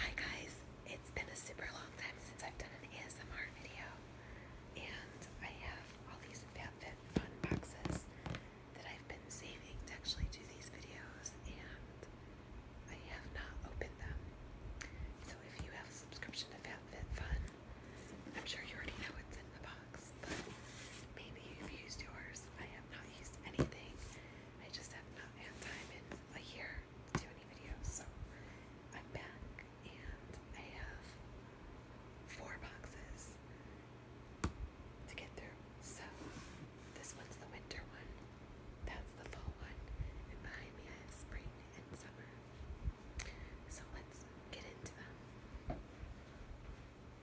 Hi guys, it's been a super long time since I've done an ASMR video, and I have all these FabFit Fun boxes that I've been saving to actually do these videos, and I have not opened them. So if you have a subscription to FabFit Fun, I'm sure you already know what's in the box, but maybe you've used yours. I have not used anything I just have not had time in a year to do any videos, so I'm back and I have four boxes to get through. So this one's the winter one, that's the fall one, and behind me I have spring and summer. So let's get into them.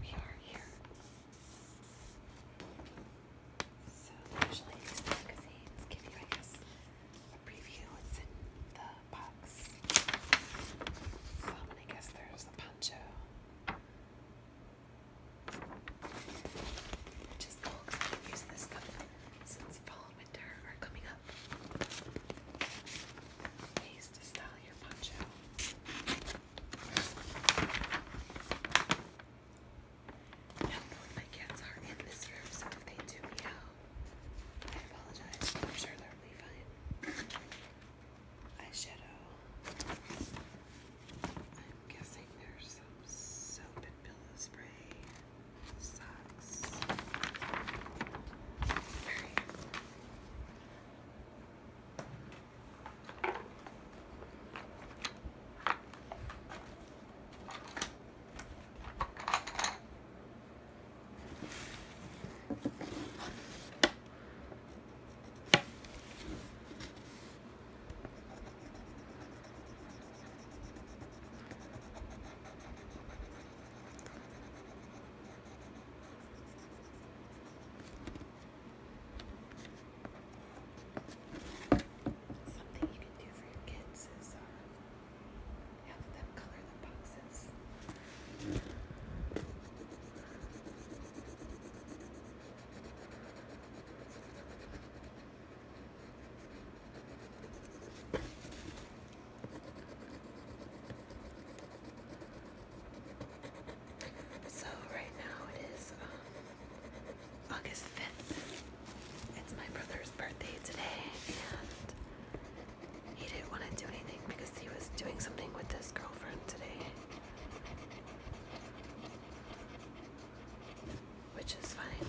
We are here. So usually magazines give you, I guess, a preview. It's in the box. So I'm gonna guess there's a poncho. Which is use this stuff since fall and winter are coming up. Ways to style your poncho. Not my cats are in this room, so if they do me out. I apologize. I'm sure they'll be fine. Eyeshadow. I'm guessing there's some soap and pillow spray. Socks. Something you can do for your kids is uh, have them So right now it is um, August 5th. It's my brother's birthday today, and he didn't want to do anything because he was doing something with his girlfriend today. Which is fine.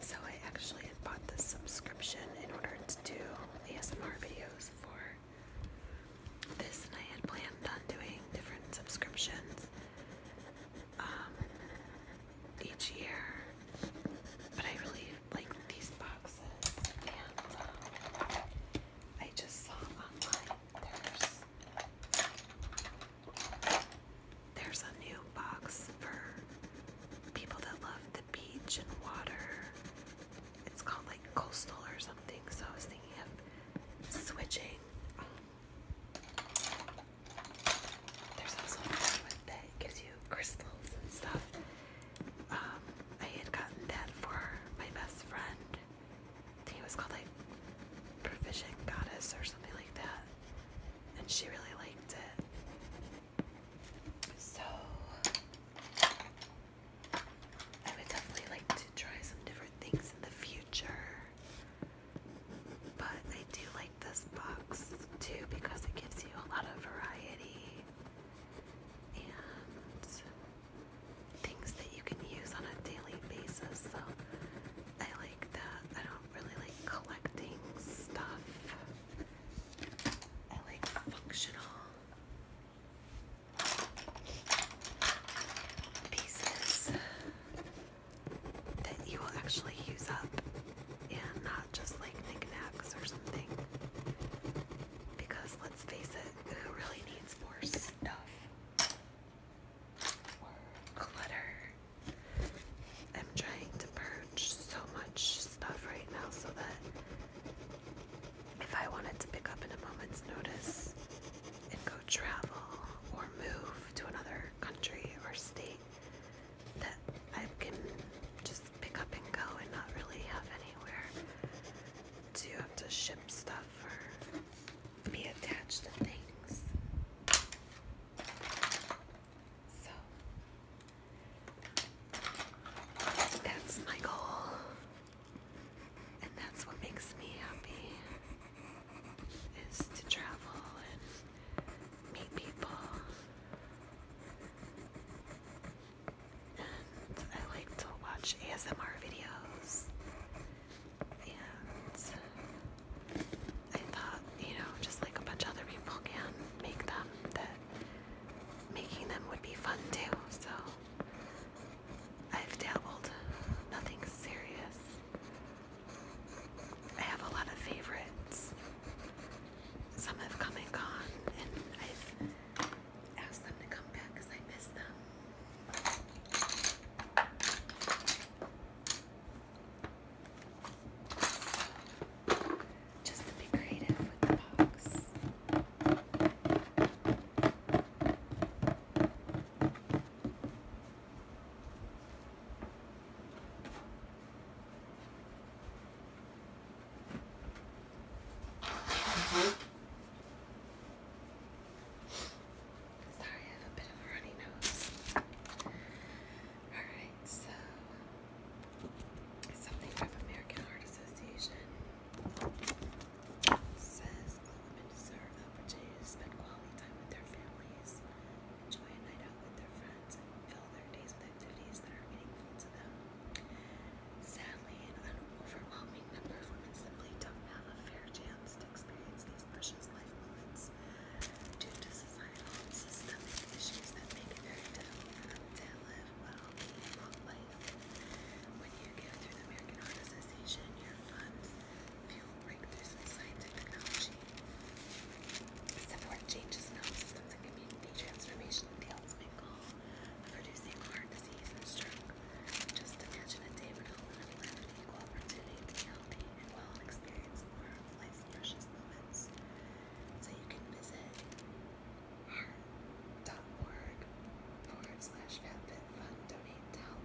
So I actually had bought this subscription in order to do ASMR videos for this, and I had planned on doing different subscriptions um, each year. But I really like these boxes, and um, I just saw online there's there's a new box for people that love the beach and water. It's called like coastal or something, so I was thinking of switching. There's also another one that gives you crystals and stuff. Um, I had gotten that for my best friend he was called like Provision Goddess or something like that. And she really liked it. So I would definitely like to try some different things in the future. But I do like this box too because it gives you a lot of variety. And things that you can use on a daily basis. So I like that. I don't really like collecting stuff. I like functional pieces that you will actually use up and not just like knickknacks or something. Because let's face it, who really needs more stuff? clutter. I'm trying to purge so much stuff right now so that if I wanted to pick up in a moment's notice and go travel or move to another country or state, that I can just pick up and go and not really have anywhere to have to ship stuff for be attached to things. So that's my goal, and that's what makes me happy is to travel and meet people. And I like to watch ASMR videos and I thought, you know, just like a bunch of other people can make them, that making them would be fun too. So I've dabbled, nothing serious. I have a lot of favorites. Some have come and gone, and I've ask them to come back I miss them. just be creative with the box. Mm-hmm. Sorry, I have a bit of a runny nose. Alright, so something from American Heart Association says all women deserve the opportunity to spend quality time with their families, enjoy a night out with their friends, and fill their days with activities that are meaningful to them. Sadly and an overwhelming number of women simply don't have a fair chance to experience these precious life moments due to societal systemic issues that make it very difficult to live a long life. When you give through the American Heart Association your funds, fuel breakthroughs in science and technology, support changes in health systems and community transformation, the ultimate goal producing heart disease and stroke. Just imagine a day when all women will have an opportunity to be healthy and well experience more of life's precious moments. So you can visit heart.org forward slash FatFitFun donate to help.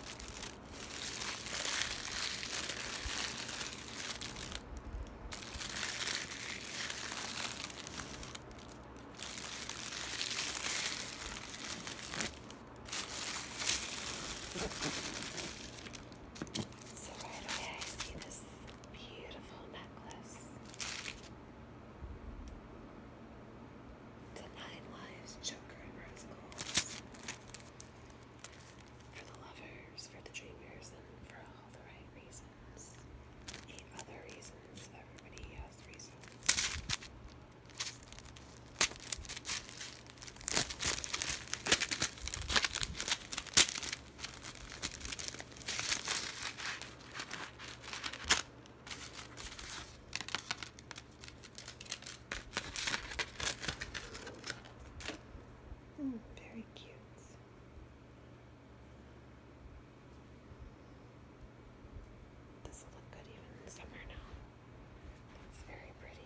So right away I see this beautiful necklace to Nine Lives, Joker, and Rose Goals. For the lovers, for the dreamers, and for all the right reasons. Eight other reasons. Everybody has reasons. Mm, very cute. This will look good even in summer now. It's very pretty.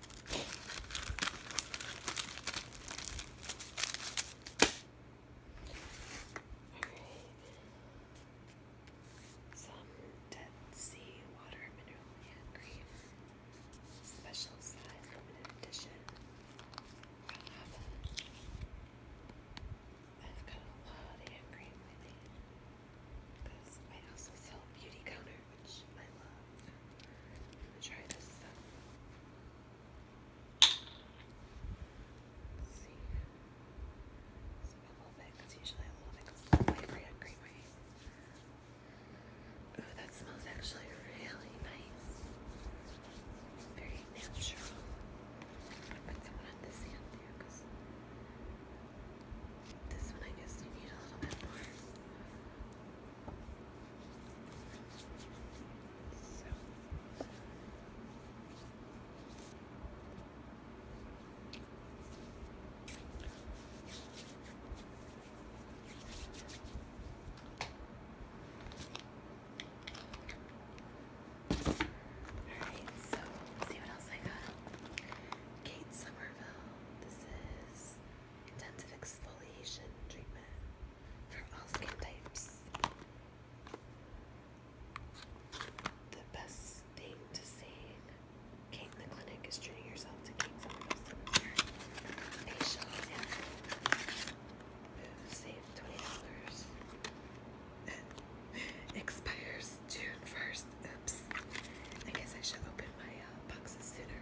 Some Dead Sea Water Mineral Cream. Special size limited edition. i have got a lot of cream with me. Because I also sell Beauty Counter, which I love. Try this. Let's see, a little bit because usually a little bit goes that smells actually really nice. Very natural. put some on this hand there because this one I guess you a little bit more. Alright, so see what else I got. Kate Somerville. This is intensive exfoliation treatment for all skin types. The best thing to saying Kate the clinic is treating yourself to Kate Somerville's facial save twenty dollars. Expires June first. Oops. I guess I should open my uh, boxes sooner.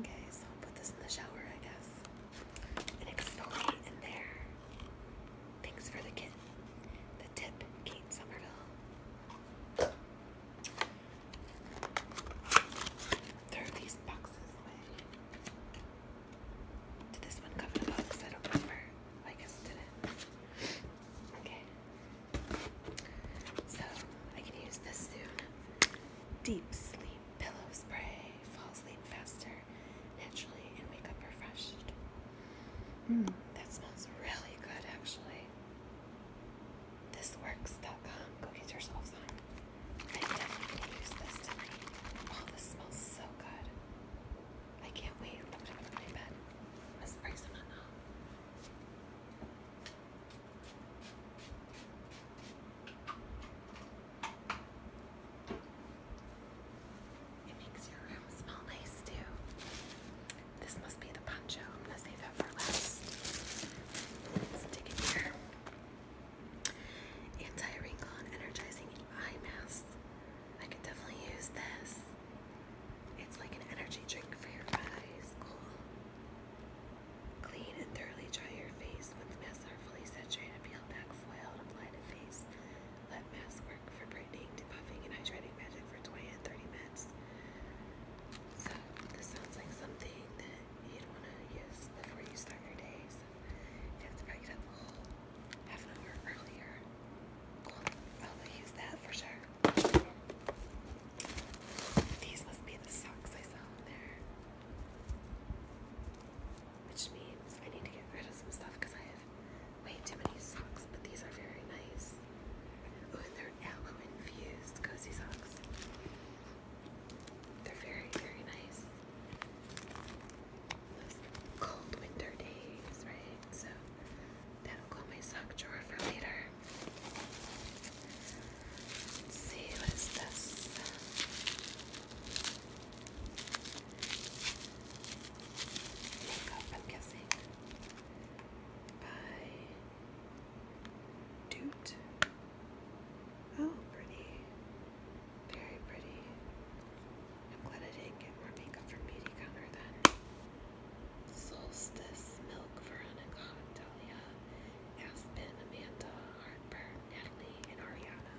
Okay, so I'll put this in the shower, I guess. And exfoliate in there. Thanks for the kit. The tip, Kate Somerville. Throw these boxes away. Did this one come in a box? I don't remember. I guess didn't. Okay. So I can use this soon. Deep sleep pillow spray. Fall asleep faster, naturally, and wake up refreshed. Mm, that smells really good, actually. Thisworks.com. Go get yourselves on. I definitely use this tonight. Oh, this smells so good. I can't wait. I'm put it on my bed. I'm spray some on now. It makes your room smell nice too. This must be the poncho. I'm gonna save that for last. Let's here. Anti-wrinkle and energizing eye mask. I could definitely use this. It's like an energy drink for your eyes. Cool. Clean and thoroughly dry your face with mass artfully saturated peel back foil and apply to face. Let mass work for brightening, depuffing, and hydrating magic for 20 and 30 minutes. So this sounds like something that you'd want to use before you start your day. you have to probably get up a whole half an hour earlier. I'll use that for sure. These must be the socks I saw in there. Which means I need to get rid of some stuff because I have way too many socks, but these are very nice. Oh, they're aloe infused cozy socks. They're very, very nice. Those cold winter days, right? So That'll go my sock drawer for later. see, what is this? Makeup, I'm guessing. By Doot. Oh, pretty. Very pretty. I'm glad I didn't get more makeup from Beauty Counter then. Solstice, Milk, Veronica, Delia, Aspen, Amanda, Harper, Natalie, and Ariana.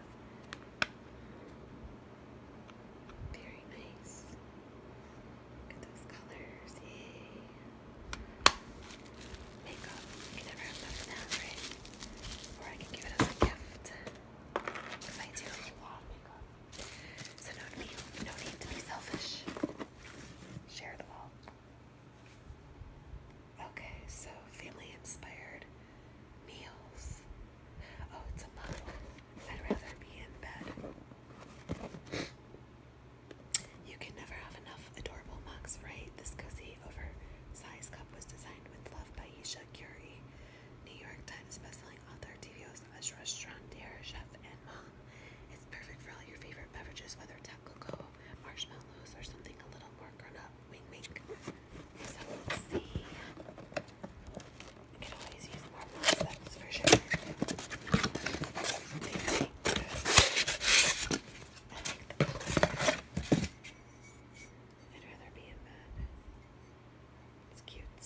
Very nice. Look at those colors, yay. Makeup, you can never have enough of that, Or I can give it as a gift. Because I do a lot of makeup. So no need, no need to be selfish. Share the all. Okay, so family inspired meals. Oh, it's a model. I'd rather be in bed. You can never have enough adorable mugs, right? This cozy, oversized cup was designed with love by Isha Curie, New York Times bestselling author, TV host, restaurateur, chef, mom. Uh, it's perfect for all your favorite beverages, whether tap cocoa, marshmallows, or something a little more grown up. Wink, wink. let's see. You can always use more moss, for sure. I would rather be in that. It's cute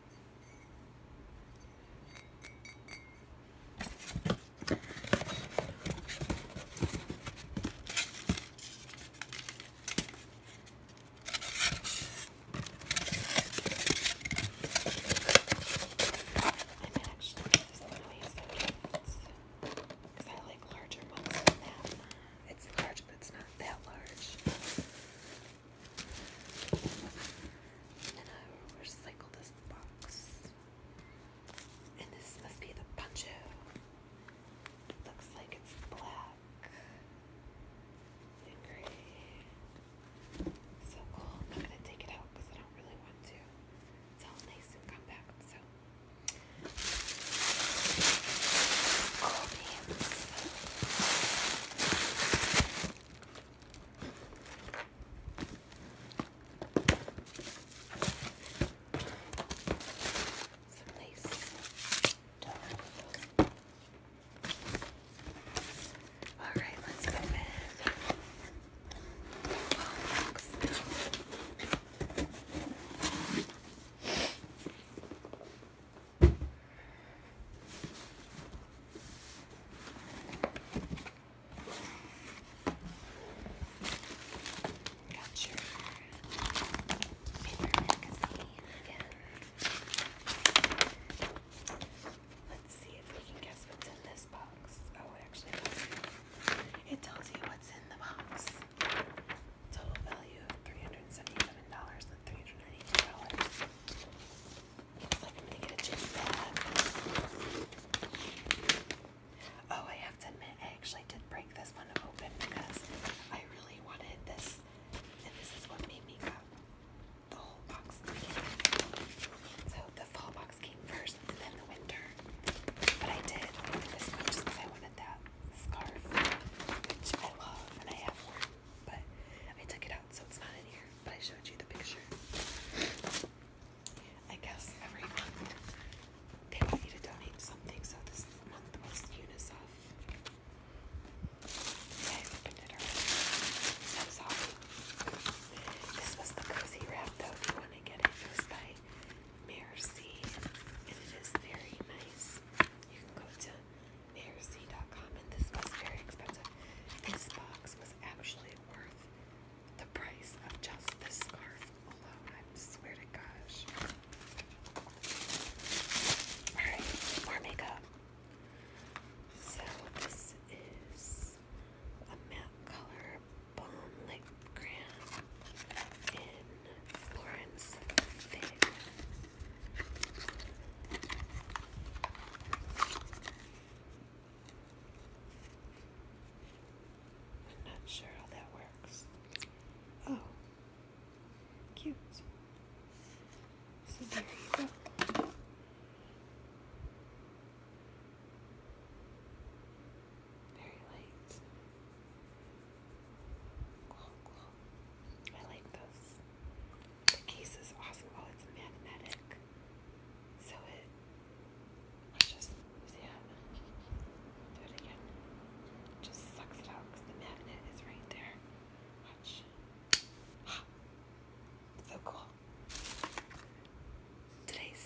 managed to get this little as because I like larger ones than that. It's large, but it's not that large. And i recycle this box. And this must be the poncho. looks like it's black and gray. So cool. I'm going to take it out because I don't really want to. It's all nice and compact. So, cool beans. Some lace. All right, let's go in. Got your paper magazine again. Let's see if we can guess what's in this box. Oh, it actually tells you. It tells you what's in the box. Total value of 377 dollars i Oh, I have to admit, I actually did break this one open because I really wanted this, and this is what made me grab the whole box. So the fall box came first, and then the winter. But I did this one just because I wanted that scarf, which I love, and I have worn but I took it out, so it's not in here. But I showed you the picture. I guess every they want you to donate something, so this month was UNICEF. I opened it already. So sorry. This was the cozy wrap, though, if you want to get it. It was by Mercy, and it is very nice. You can go to AirC.com, and this was very expensive. This box was actually worth the price of just this scarf alone. I swear to gosh. Alright, more makeup. So this is a matte color balm lip cream in Florence I'm not sure how that works. Oh, cute. So there you go. Very light. I like those. The case is awesome. Oh, it's magnetic. So it. just see uh, Do it again. Just sucks it out because the magnet is right there. Watch. so cool. Today's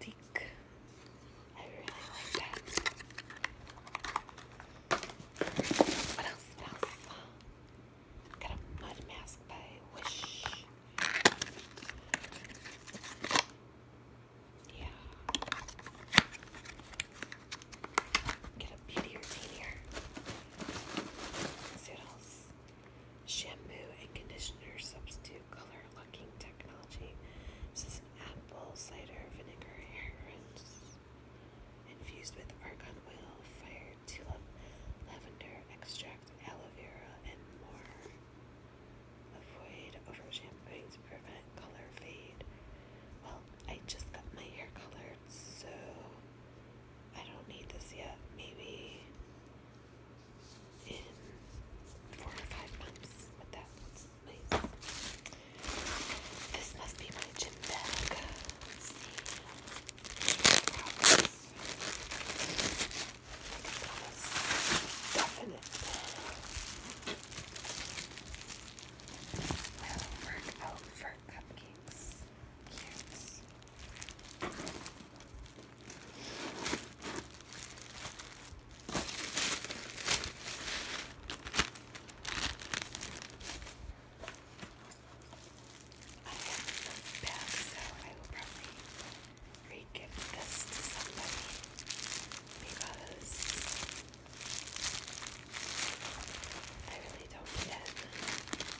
stick. I really like that. What else? What else? Got a mud mask by Wish. Yeah. Get a beauty routine here. See Shampoo and conditioner substitute color locking technology. This is an apple cider vinegar hair rinse infused with argan oil, fire, tulip, lavender extract, aloe vera, and more. Avoid over shampoos to prevent color fade. Well, I just got my hair colored, so I don't need this yet. Maybe in four or five months, but that this must be my gym bag. Let's will work out for cupcakes. Cute. I am past, so I will probably re-gift this to somebody because I really don't need it. And this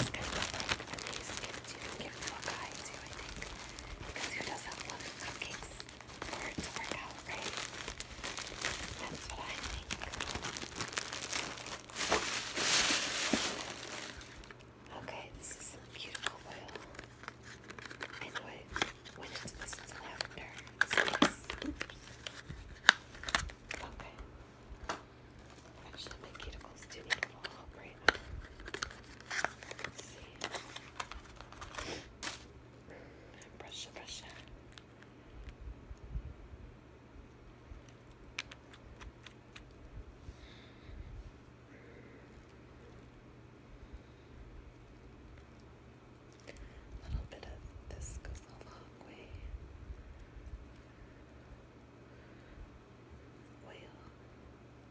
is kind of like a nice gift you can give to a guy too, I think. Because who doesn't love cupcakes? for work out right. That's what I think. Okay, this is a beautiful oil. Anyway, when it's this lavender. It's Okay. Actually, my cuticles do need to fall right Let's see. Brush, brush. A little bit of this goes a long way. Well,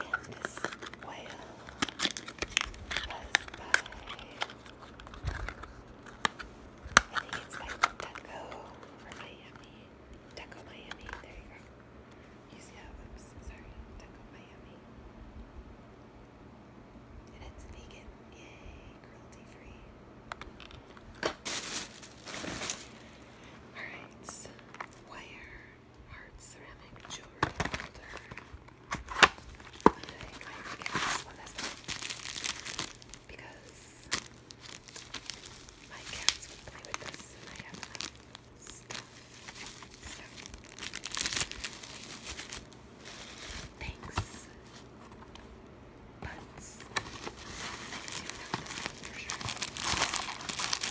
And this whale was by, I think it's Miami. Deco Miami, there you go. You see how, oops, sorry, Deco Miami. And it's vegan, yay, cruelty free. Alright, wire. Heart ceramic jewelry holder. I think I even get this Because my cats would play with this I have like um, stuff. thanks. But for sure.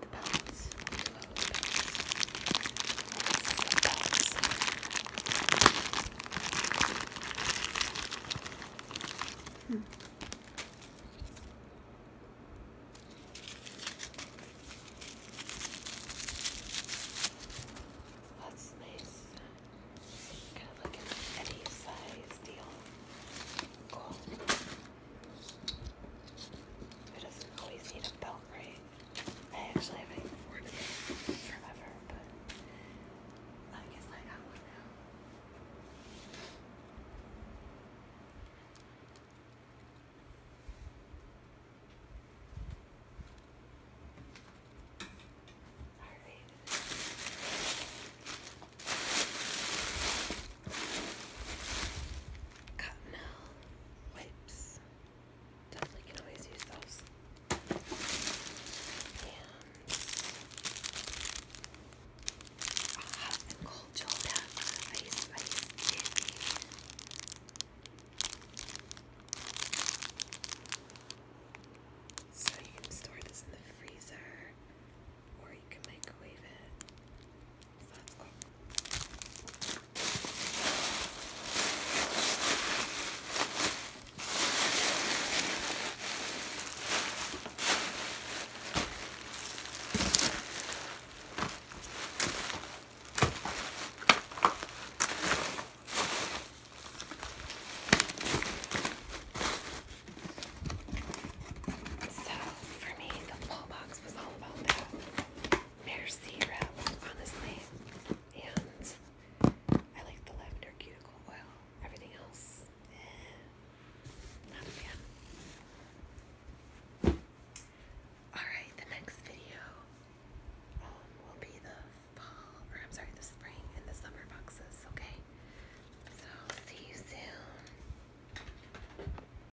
the belts. The belts. Hmm. That's nice. Kind of like an Eddie size deal. Cool. It doesn't always need a belt, right? I actually haven't even worn it forever, but I guess I got one now. Alright. Cotton wipes. Definitely can always use those. And uh, hot and cold soda, ice, ice candy. So you can store this in the freezer, or you can microwave it. So that's cool. So, for me, the full box was all about that. Merci wrap, honestly. And I like the lavender cuticle oil. Everything else, eh, not a fan. Alright, the next video um, will be the fall, or I'm sorry, the spring and the summer boxes, okay? So, see you soon.